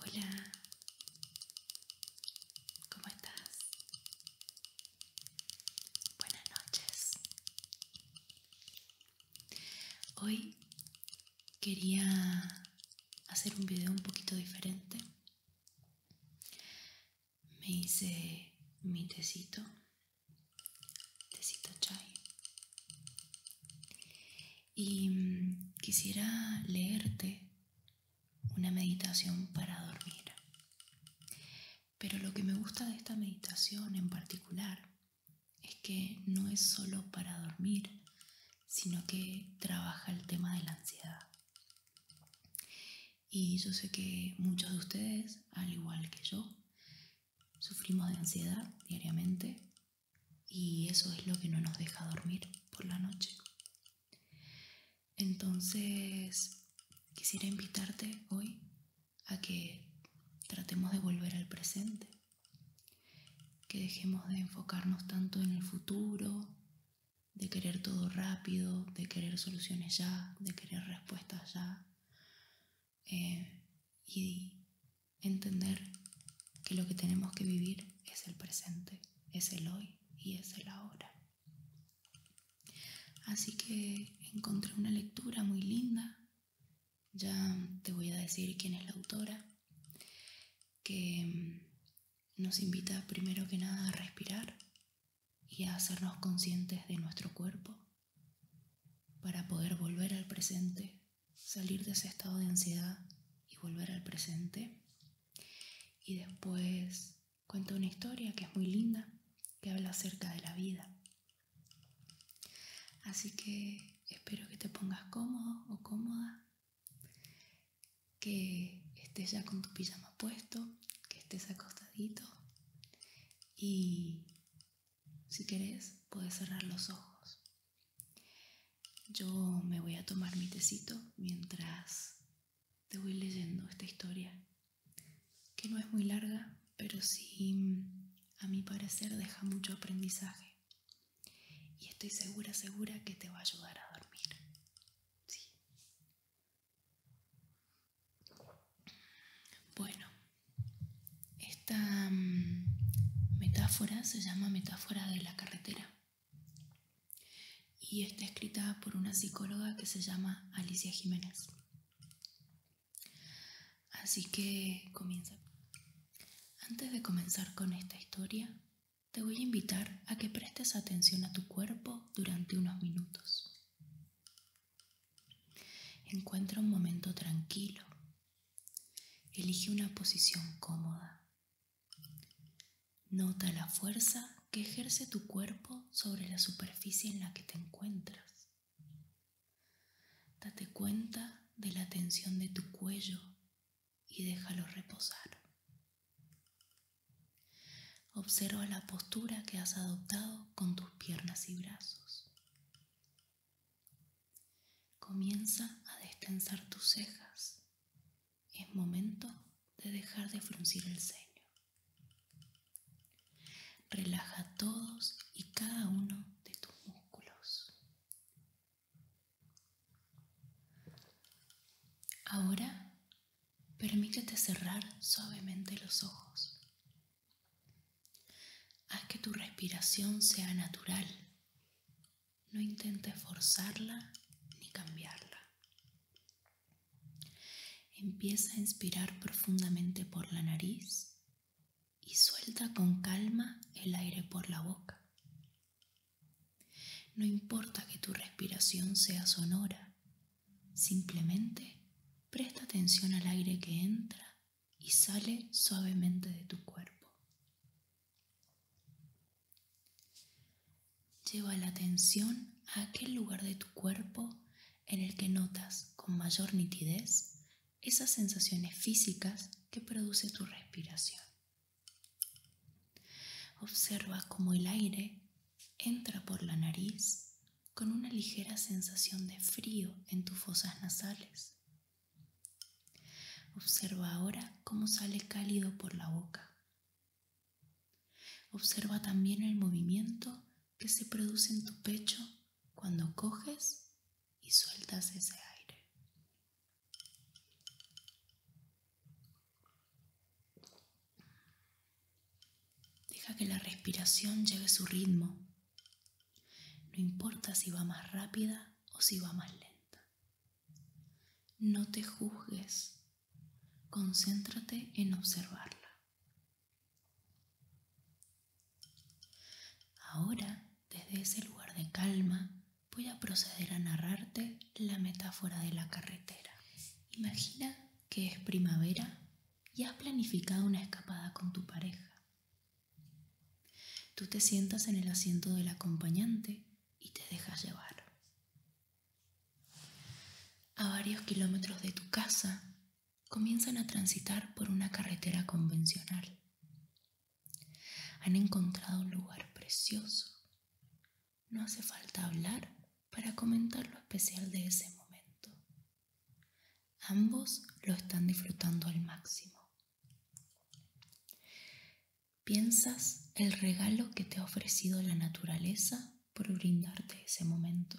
Hola, ¿cómo estás? Buenas noches. Hoy quería hacer un video un poquito diferente me hice mi tecito, tecito chai. Y mm, quisiera leerte una meditación para dormir. Pero lo que me gusta de esta meditación en particular es que no es solo para dormir, sino que trabaja el tema de la ansiedad. Y yo sé que muchos de ustedes, al igual que yo, sufrimos de ansiedad diariamente y eso es lo que no nos deja dormir por la noche. Entonces, quisiera invitarte hoy a que tratemos de volver al presente, que dejemos de enfocarnos tanto en el futuro, de querer todo rápido, de querer soluciones ya, de querer respuestas ya. Eh, y entender que lo que tenemos que vivir es el presente, es el hoy y es el ahora. Así que encontré una lectura muy linda. Ya te voy a decir quién es la autora que mm, nos invita primero que nada a respirar y a hacernos conscientes de nuestro cuerpo para poder volver al presente, salir de ese estado de ansiedad y volver al presente. Y después cuenta una historia que es muy linda, que habla acerca de la vida. Así que espero que te pongas cómodo o cómoda que estés ya con tu pijama puesto, que estés acostadito y si querés puedes cerrar los ojos. Yo me voy a tomar mi tecito mientras te voy leyendo esta historia, que no es muy larga, pero sí, a mi parecer, deja mucho aprendizaje. Y estoy segura, segura que te va a ayudar a dormir. Bueno, esta mm, metáfora se llama metáfora de la carretera y está escrita por una psicóloga que se llama Alicia Jiménez. Así que comienza. Antes de comenzar con esta historia, te voy a invitar a que prestes atención a tu cuerpo durante unos minutos. Encuentra un momento tranquilo. Elige una posición cómoda. Nota la fuerza que ejerce tu cuerpo sobre la superficie en la que te encuentras. Date cuenta de la tensión de tu cuello y déjalo reposar. Observa la postura que has adoptado con tus piernas y brazos. Comienza a destensar tus cejas. Es momento de dejar de fruncir el ceño. Relaja todos y cada uno de tus músculos. Ahora permítete cerrar suavemente los ojos. Haz que tu respiración sea natural. No intentes forzarla ni cambiarla. Empieza a inspirar profundamente por la nariz y suelta con calma el aire por la boca. No importa que tu respiración sea sonora, simplemente presta atención al aire que entra y sale suavemente de tu cuerpo. Lleva la atención a aquel lugar de tu cuerpo en el que notas con mayor nitidez esas sensaciones físicas que produce tu respiración. Observa cómo el aire entra por la nariz con una ligera sensación de frío en tus fosas nasales. Observa ahora cómo sale cálido por la boca. Observa también el movimiento que se produce en tu pecho cuando coges y sueltas ese aire. Deja que la respiración lleve su ritmo. No importa si va más rápida o si va más lenta. No te juzgues. Concéntrate en observarla. Ahora, desde ese lugar de calma, voy a proceder a narrarte la metáfora de la carretera. Imagina que es primavera y has planificado una escapada con tu pareja. Tú te sientas en el asiento del acompañante y te dejas llevar. A varios kilómetros de tu casa, comienzan a transitar por una carretera convencional. Han encontrado un lugar precioso no hace falta hablar para comentar lo especial de ese momento. Ambos lo están disfrutando al máximo. Piensas el regalo que te ha ofrecido la naturaleza por brindarte ese momento.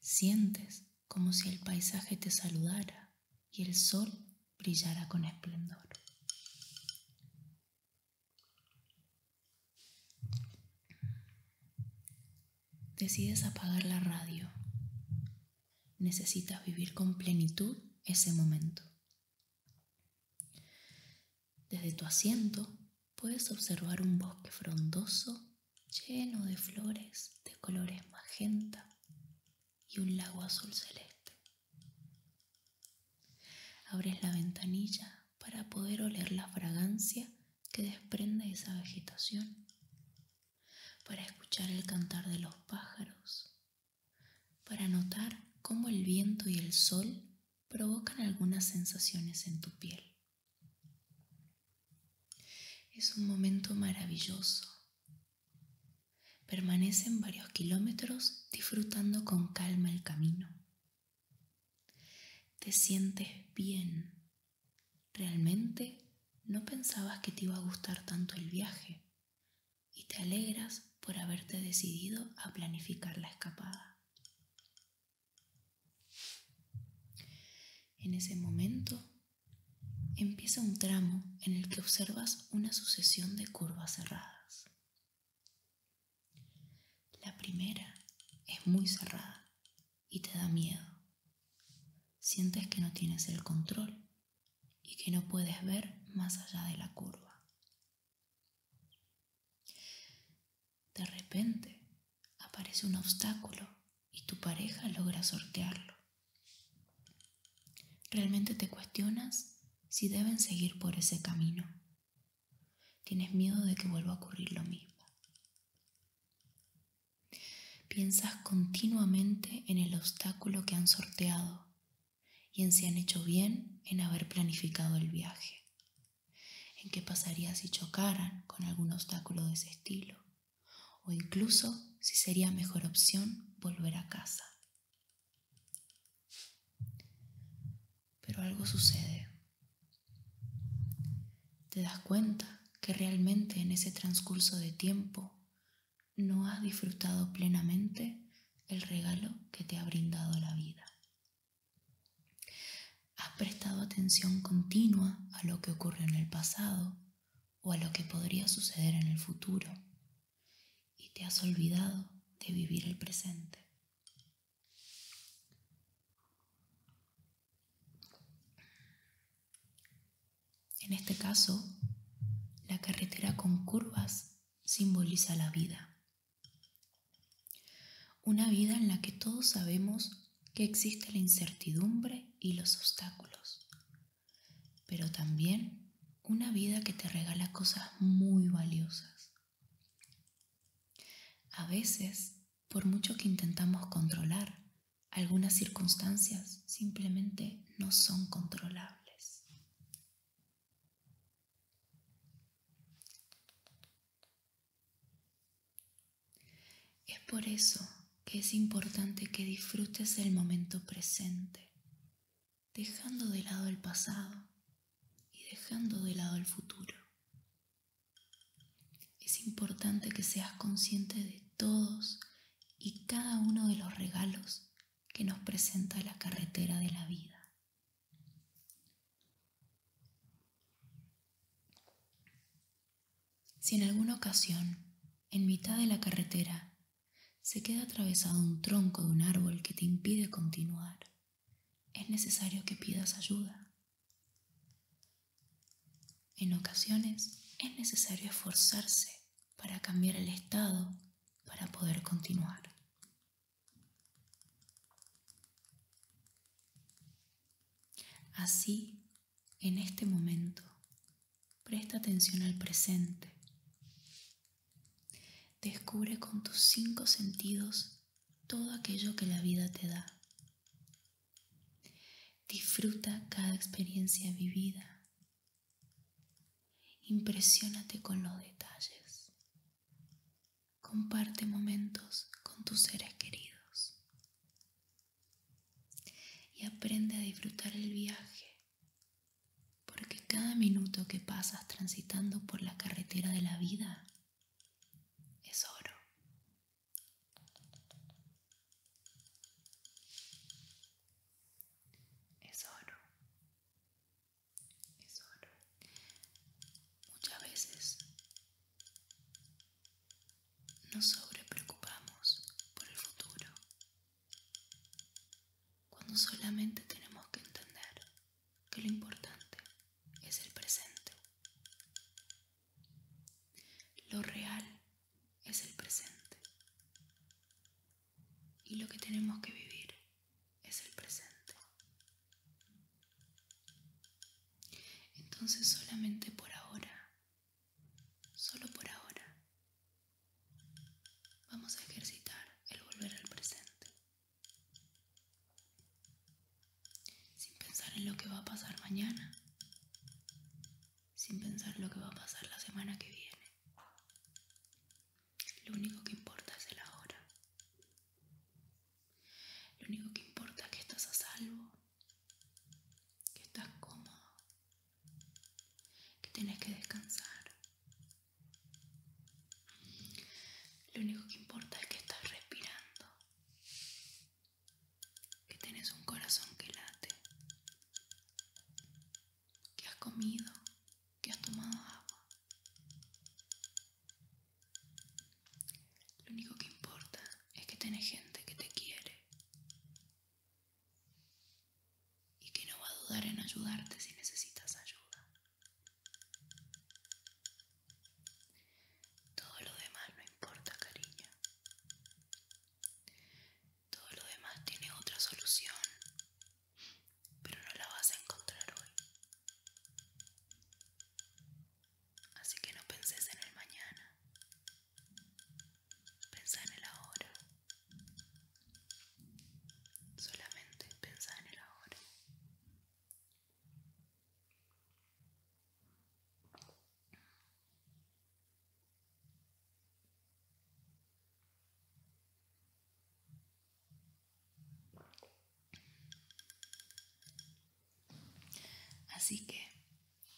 Sientes como si el paisaje te saludara y el sol Brillará con esplendor. Decides apagar la radio. Necesitas vivir con plenitud ese momento. Desde tu asiento puedes observar un bosque frondoso lleno de flores de colores magenta, y un lago azul celeste. Abres la ventanilla para poder oler la fragancia que desprende esa vegetación, para escuchar el cantar de los pájaros, para notar cómo el viento y el sol provocan algunas sensaciones en tu piel. Es un momento maravilloso permanecen varios kilómetros disfrutando con calma el camino. Te sientes bien. Realmente no pensabas que te iba a gustar tanto el viaje y te alegras por haberte decidido a planificar la escapada. En ese momento empieza un tramo en el que observas una sucesión de curvas cerradas. La primera es muy cerrada y te da miedo. Sientes que no tienes el control y que no puedes ver más allá de la curva. De repente aparece un obstáculo y tu pareja logra sortearlo. ¿Realmente te cuestionas si deben seguir por ese camino? ¿Tienes miedo de que vuelva a ocurrir lo mismo? Piensas continuamente en el obstáculo que han sorteado y en si han hecho bien en haber planificado el viaje, en qué pasaría si chocaran con algún obstáculo de ese estilo, o incluso si sería mejor opción volver a casa. Pero algo sucede. Te das cuenta que realmente en ese transcurso de tiempo no has disfrutado plenamente el regalo que te ha brindado la vida. Has prestado atención continua a lo que ocurrió en el pasado o a lo que podría suceder en el futuro y te has olvidado de vivir el presente. En este caso, la carretera con curvas simboliza la vida. Una vida en la que todos sabemos que existe la incertidumbre y los obstáculos, pero también una vida que te regala cosas muy valiosas. A veces, por mucho que intentamos controlar, algunas circunstancias simplemente no son controlables. Es por eso que es importante que disfrutes el momento presente, dejando de lado el pasado y dejando de lado el futuro. Es importante que seas consciente de todos y cada uno de los regalos que nos presenta la carretera de la vida. Si en alguna ocasión, en mitad de la carretera, se queda atravesado un tronco de un árbol que te impide continuar. Es necesario que pidas ayuda. En ocasiones es necesario esforzarse para cambiar el estado para poder continuar. Así, en este momento, presta atención al presente Descubre con tus cinco sentidos todo aquello que la vida te da. Disfruta cada experiencia vivida. Impresiónate con los detalles. Comparte momentos con tus seres queridos. Y aprende a disfrutar el viaje porque cada minuto que pasas transitando por la carretera de la vida es oro. Es oro. Es oro. Muchas veces nos sobrepreocupamos por el futuro cuando solamente tenemos que entender que lo importante es el presente. Lo real es el presente. Y lo que tenemos que vivir es el presente. Entonces solamente por ahora, solo por ahora, Vamos a ejercitar el volver al presente. Sin pensar en lo que va a pasar mañana. Sin pensar en lo que va a pasar la semana que viene. Lo único que importa es el ahora. Lo único que importa es que estás a salvo. Que estás cómodo. Que tenés que descansar. Lo único que importa es que estás respirando, que tienes un corazón que late, que has comido, que has tomado agua. Lo único que importa es que tenés gente que te quiere, y que no va a dudar en ayudarte si necesitas ayuda. Todo lo demás no importa, cariño. Todo lo demás tiene otra solución, pero no la vas a encontrar hoy. Así que no penses en el mañana, Piensa en el ahora. Solamente pensar en el ahora. Así que,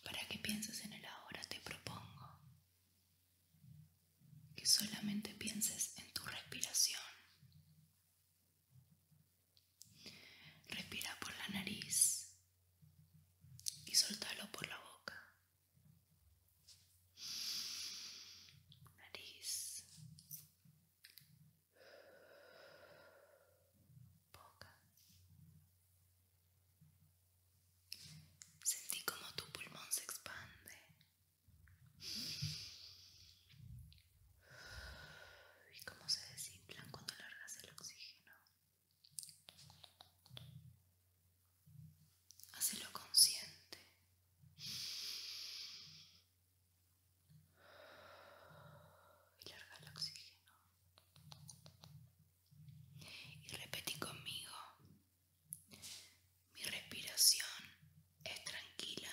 para que pienses en el ahora, te propongo que solamente pienses en tu respiración. Respira por la nariz y soltalo por la boca. Nariz. Boca. Sentí como tu pulmón se expande y cómo se desinflan cuando largas el oxígeno. Hazlo consciente. Y larga el oxígeno. Y repetí conmigo. Mi respiración es tranquila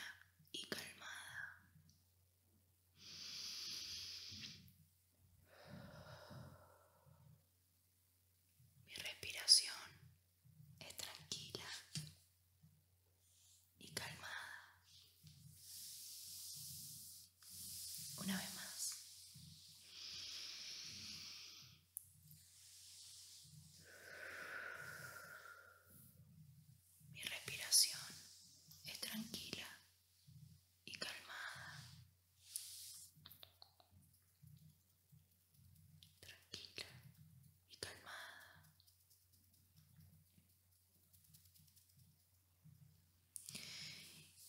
y calmada. Mi respiración es tranquila y calmada. Una vez más. Mi respiración es tranquila y calmada. Tranquila y calmada.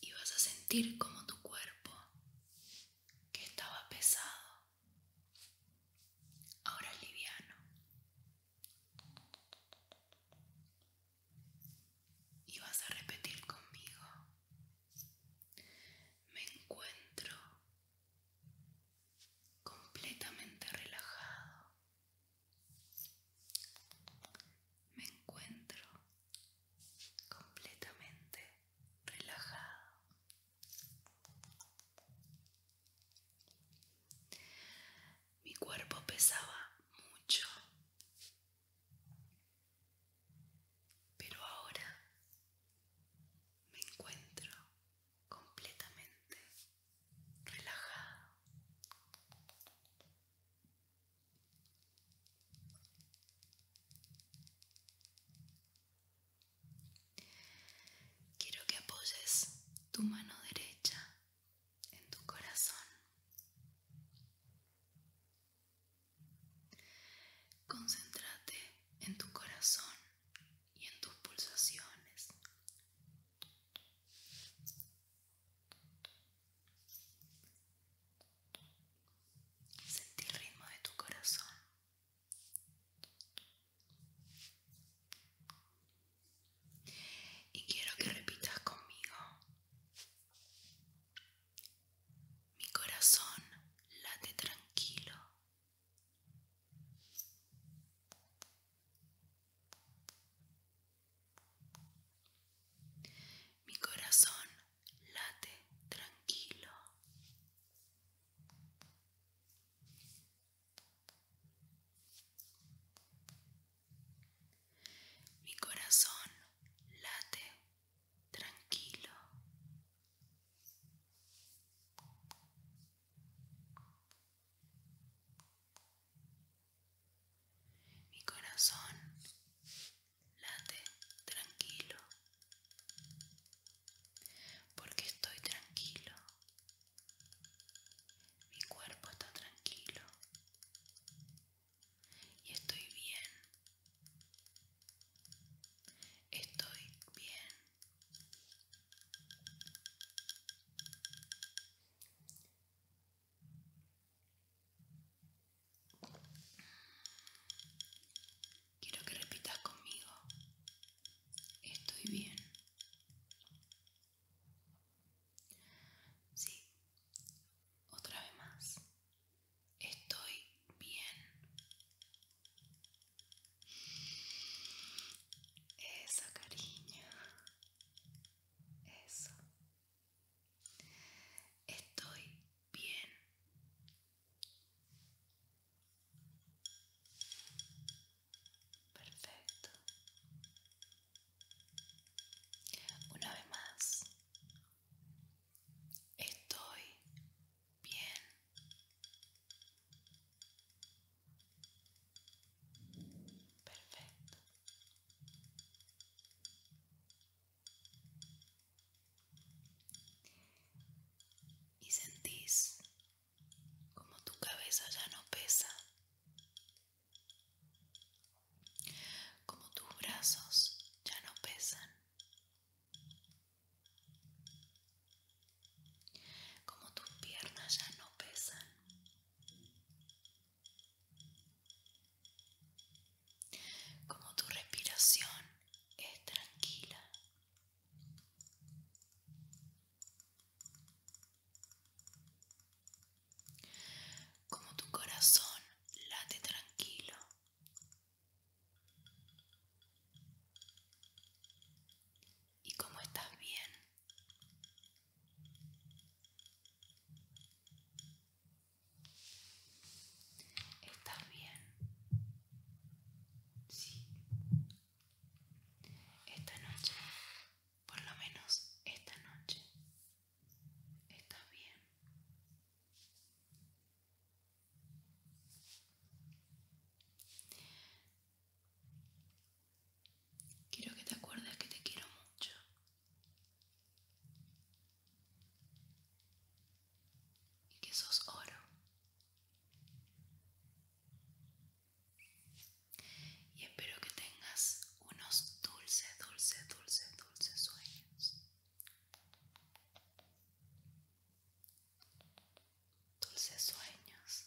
Y vas a sentir como tu cuerpo, que estaba pesado, ahora liviano y vas a repetir conmigo me encuentro completamente relajado me encuentro completamente relajado mi cuerpo pesaba mucho, pero ahora me encuentro completamente relajado. Quiero que apoyes tu mano derecha en tu corazón. Concéntrate en tu corazón y en tus pulsaciones. Sentí el ritmo de tu corazón. Y quiero que repitas conmigo. Mi corazón late tranquilo. Mi corazón late tranquilo. Mi corazón late tranquilo. Mi corazón late tranquilo porque estoy tranquilo, mi cuerpo está tranquilo y estoy bien, estoy bien. Quiero que repitas conmigo. Estoy bien. Sí. Otra vez más. Estoy bien. esa cariño. Eso. Estoy bien. Perfecto. Una vez más. Estoy bien. Perfecto y sentís como tu cabeza ya no pesa, como tus brazos ya no pesan, como tus piernas ya no pesan. Como tu respiración es tranquila como tu corazón late tranquilo. Y como estás bien. Estás bien. Sí. Esta noche, por lo menos esta noche, está bien. Quiero que te acuerdes que te quiero mucho y que sos oro. Y espero que tengas unos dulces, dulce dulces, dulces sueños. Dulces sueños.